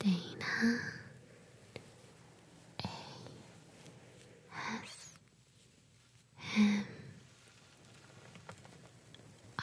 Dana A S M R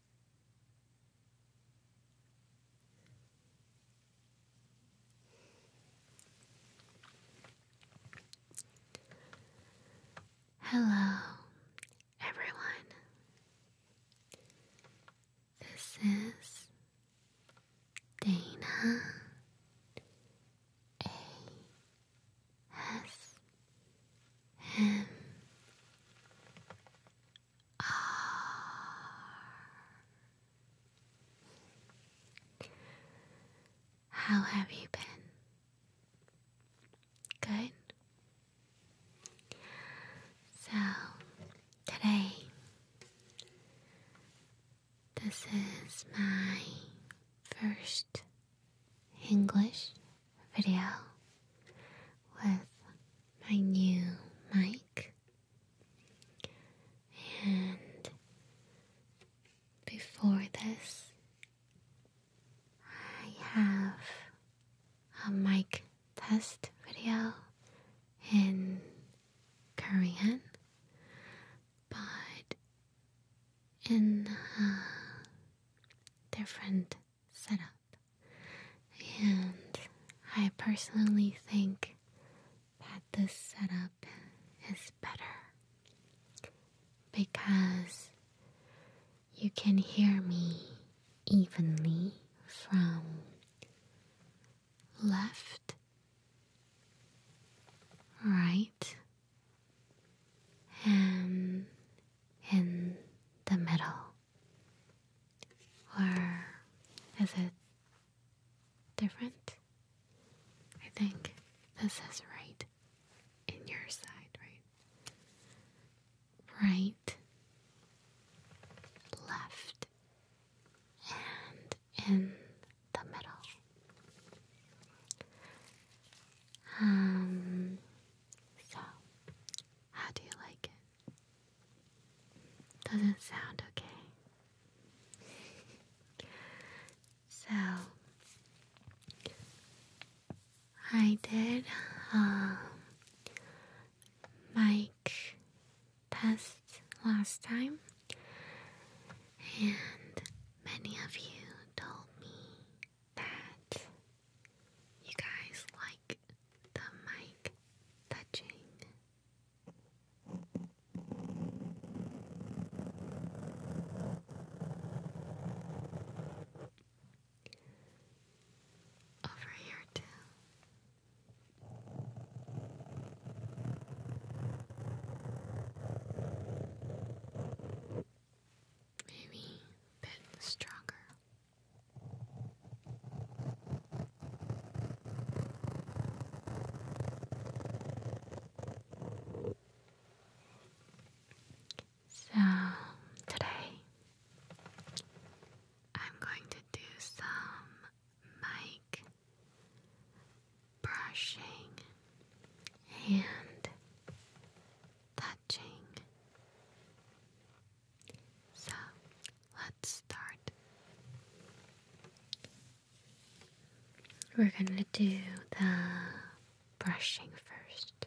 Hello, everyone. This is Dana A S M R. How have you been? Good. So, today, this is my first English video with my new mic. And before this, I have a mic test video in Korean, but in a different setup. And I personally think that this setup is better because you can hear me evenly from left, right, and in the middle. Or is it different? I think this is right in your side, right? Right, left, and in the middle. Um, so, how do you like it? Doesn't sound okay. so I did um, mic test last time, and many of you told me that you guys like the mic touching over here, too. Maybe a bit stronger. So, today I'm going to do some mic brushing and touching so let's start. We're gonna do the brushing first.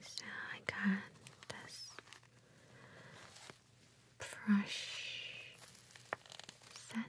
So I got this brush set.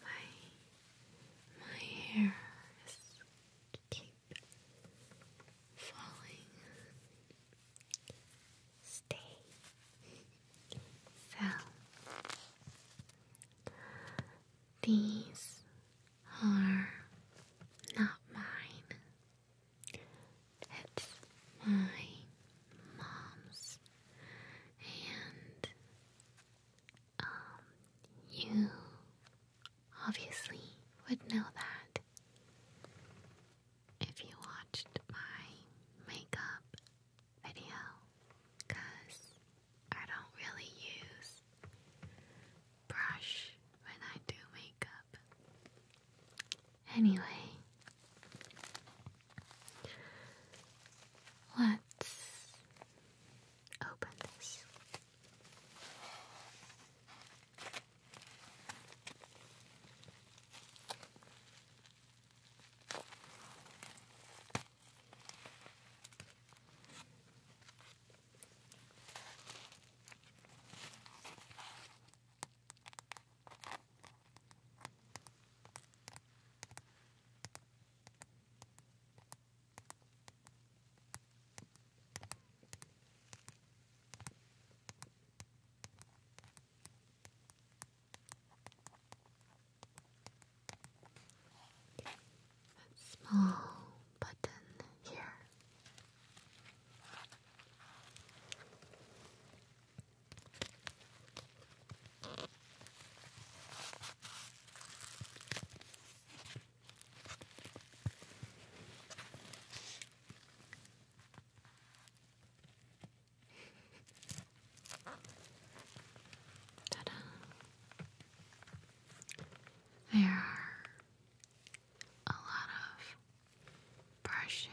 My my hair is falling. Stay. So these are not mine. It's my mom's, and um, you obviously would know that if you watched my makeup video, because I don't really use brush when I do makeup. Anyway, let's open this. Okay. Small button here. There are a lot of brushes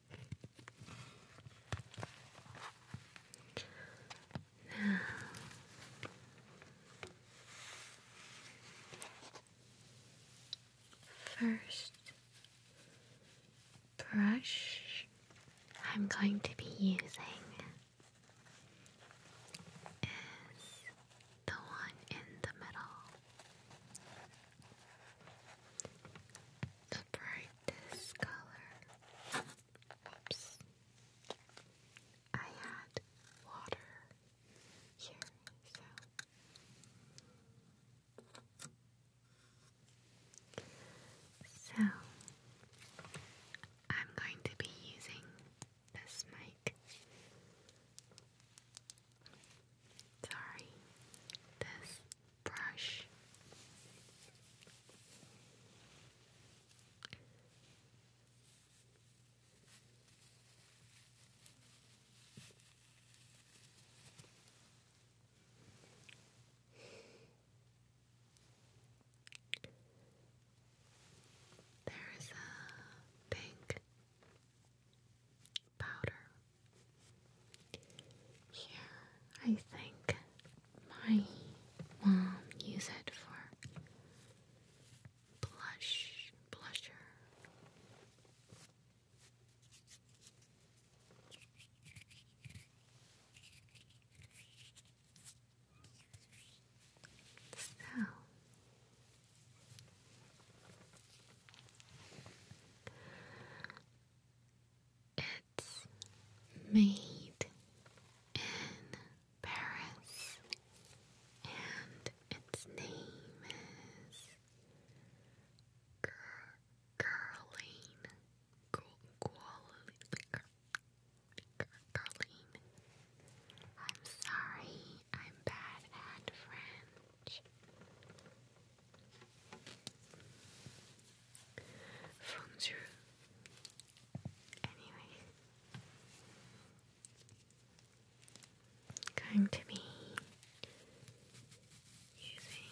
Now, first brush I'm going to be using is the one in the middle brightest color. Oops. I had water here, so. I'm going to be using this mic. Sorry, this brush. There is a pink powder yeah, I think my mom used it for blush, blusher. So it it's made in Paris and its name is Curline. Curline. I'm sorry, I'm bad at French. Phones are. Anyway, going to be using.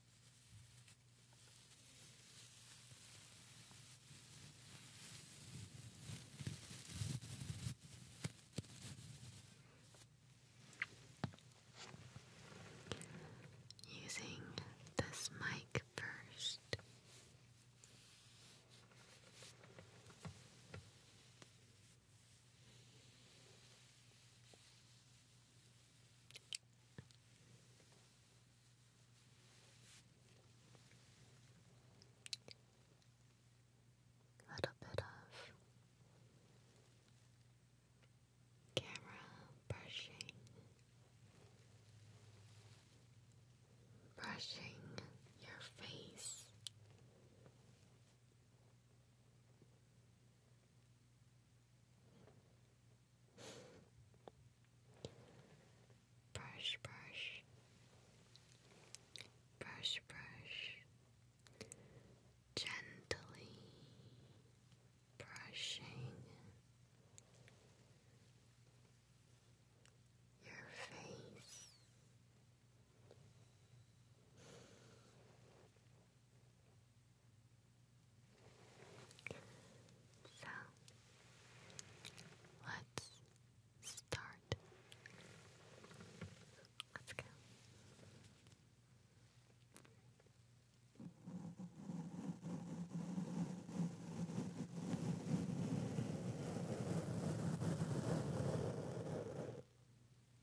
Using this mic first. A little bit of camera brushing, brushing your face. Brush, brush, brush, brush, gently brushing your face. So let's start. Let's go.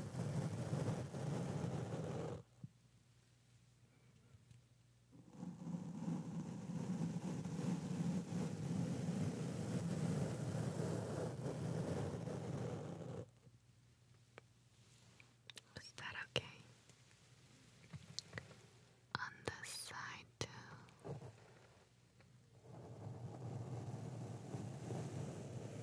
Is that okay? On this side too. Good.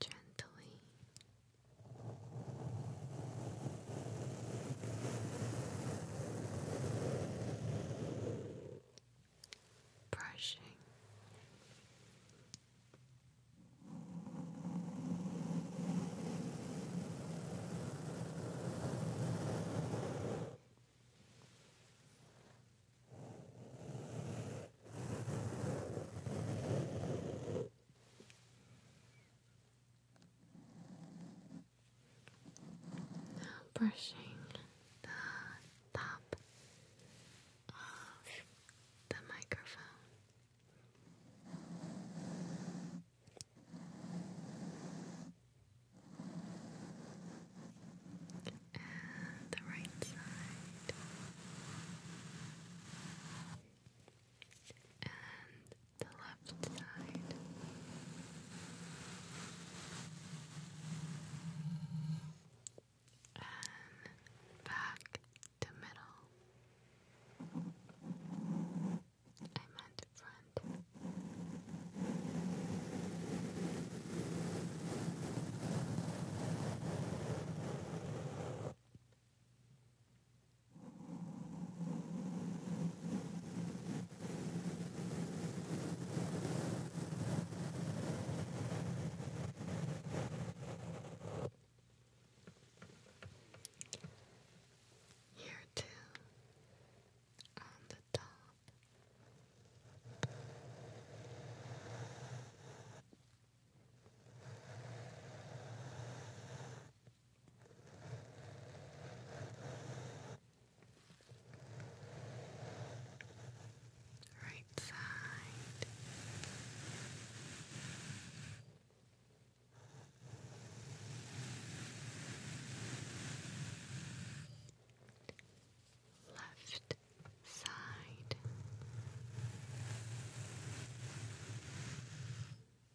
gently. Brushing brushing the top of the microphone. And the right side and the left side. And back to middle. I meant front. Here too, on the top. Right side. Left side.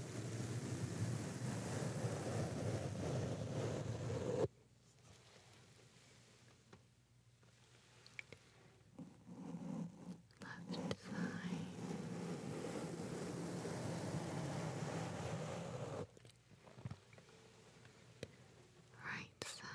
Left side. Right side.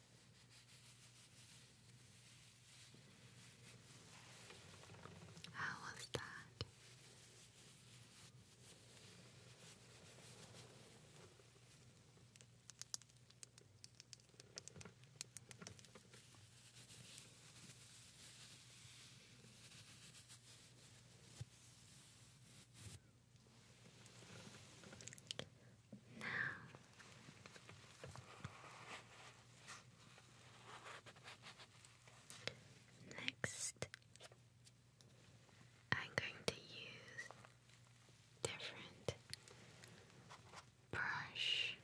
How was that? Now, next, I'm going to use different brush.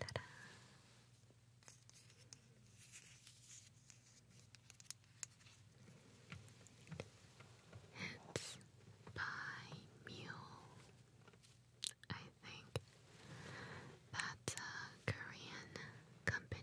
Ta-da. It's by Mule. I think that's a Korean company.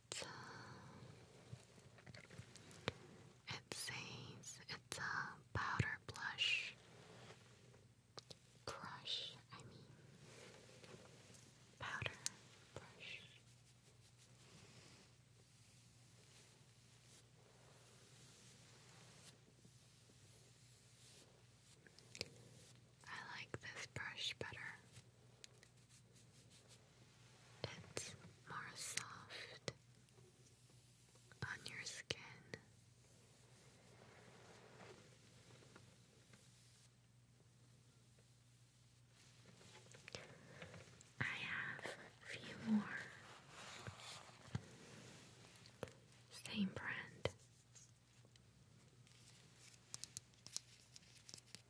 Uh, it says it's a powder blush crush, I mean, powder brush. I like this brush better. It's more soft on your skin. I have a few more. Same brand.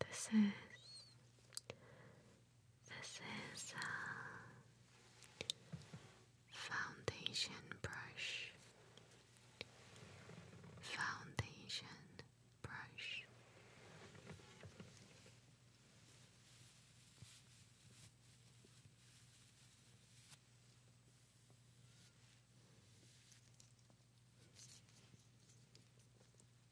This is this is a foundation brush. Foundation brush.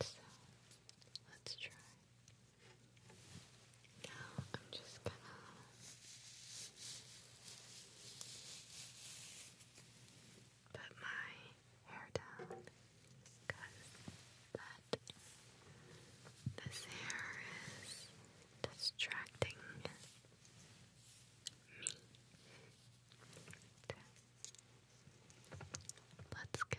So let's try. Now I'm just gonna put my hair down because that this hair is distracting meat. Let's go.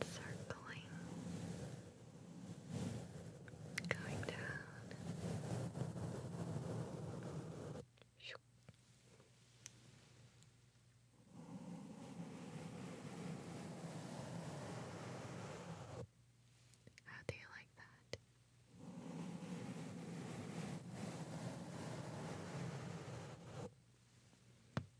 circling, going down. How do you like that?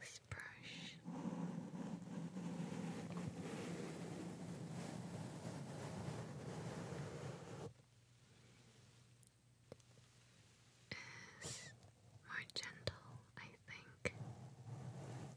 This brush is more gentle, I think. Gently relax.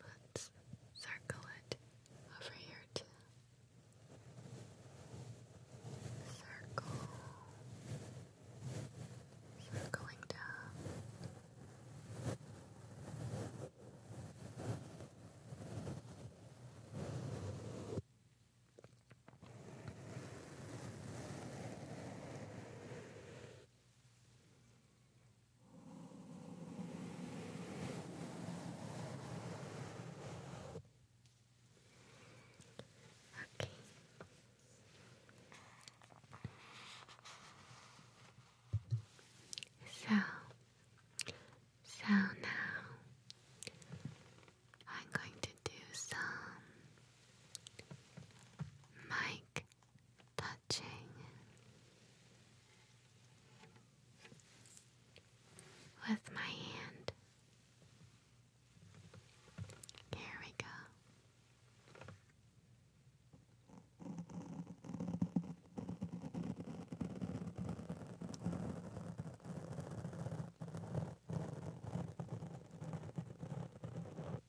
Now, let's circle it over here too. Circle, circling down. Okay. So, so now I'm going to do some Mike touching. With my hand. Here we go.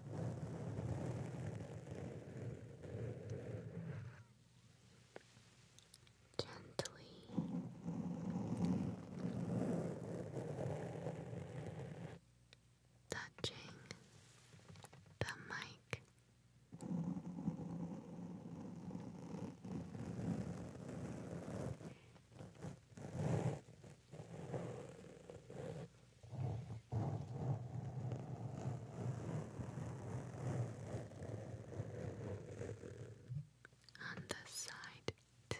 Gently touching the mic. On the side too.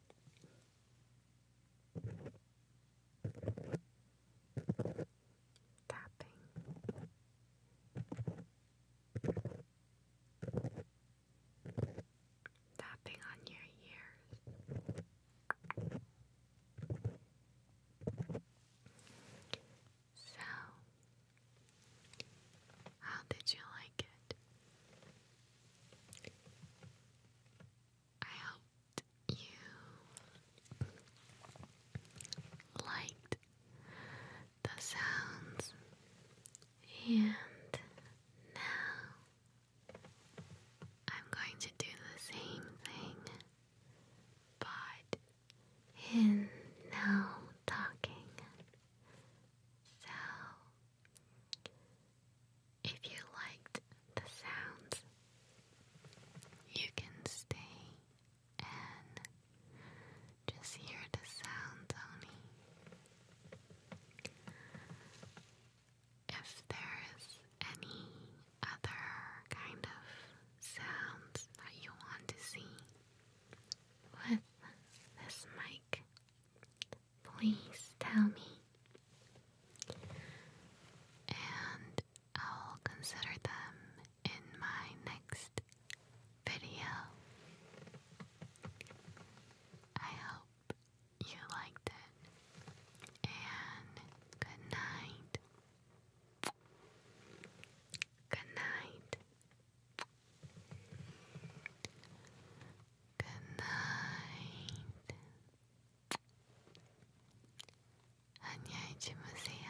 Tapping. Tapping on your ears. So, how did you like it? I hoped you liked the sounds, and now I'm going to do the same thing, but in now talking. So if you liked the sounds, you can stay and just hear the sounds only. If there's any other kind of sounds that you want to see with this mic, Please tell me. And I will consider them in my next video. I hope you liked it. And good night. Good night. Good night. 안녕히 주무세요.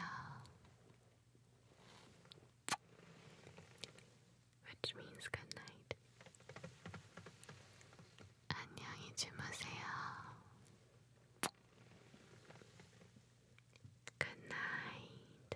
Which means good night. 안녕히 주무세요. Good night.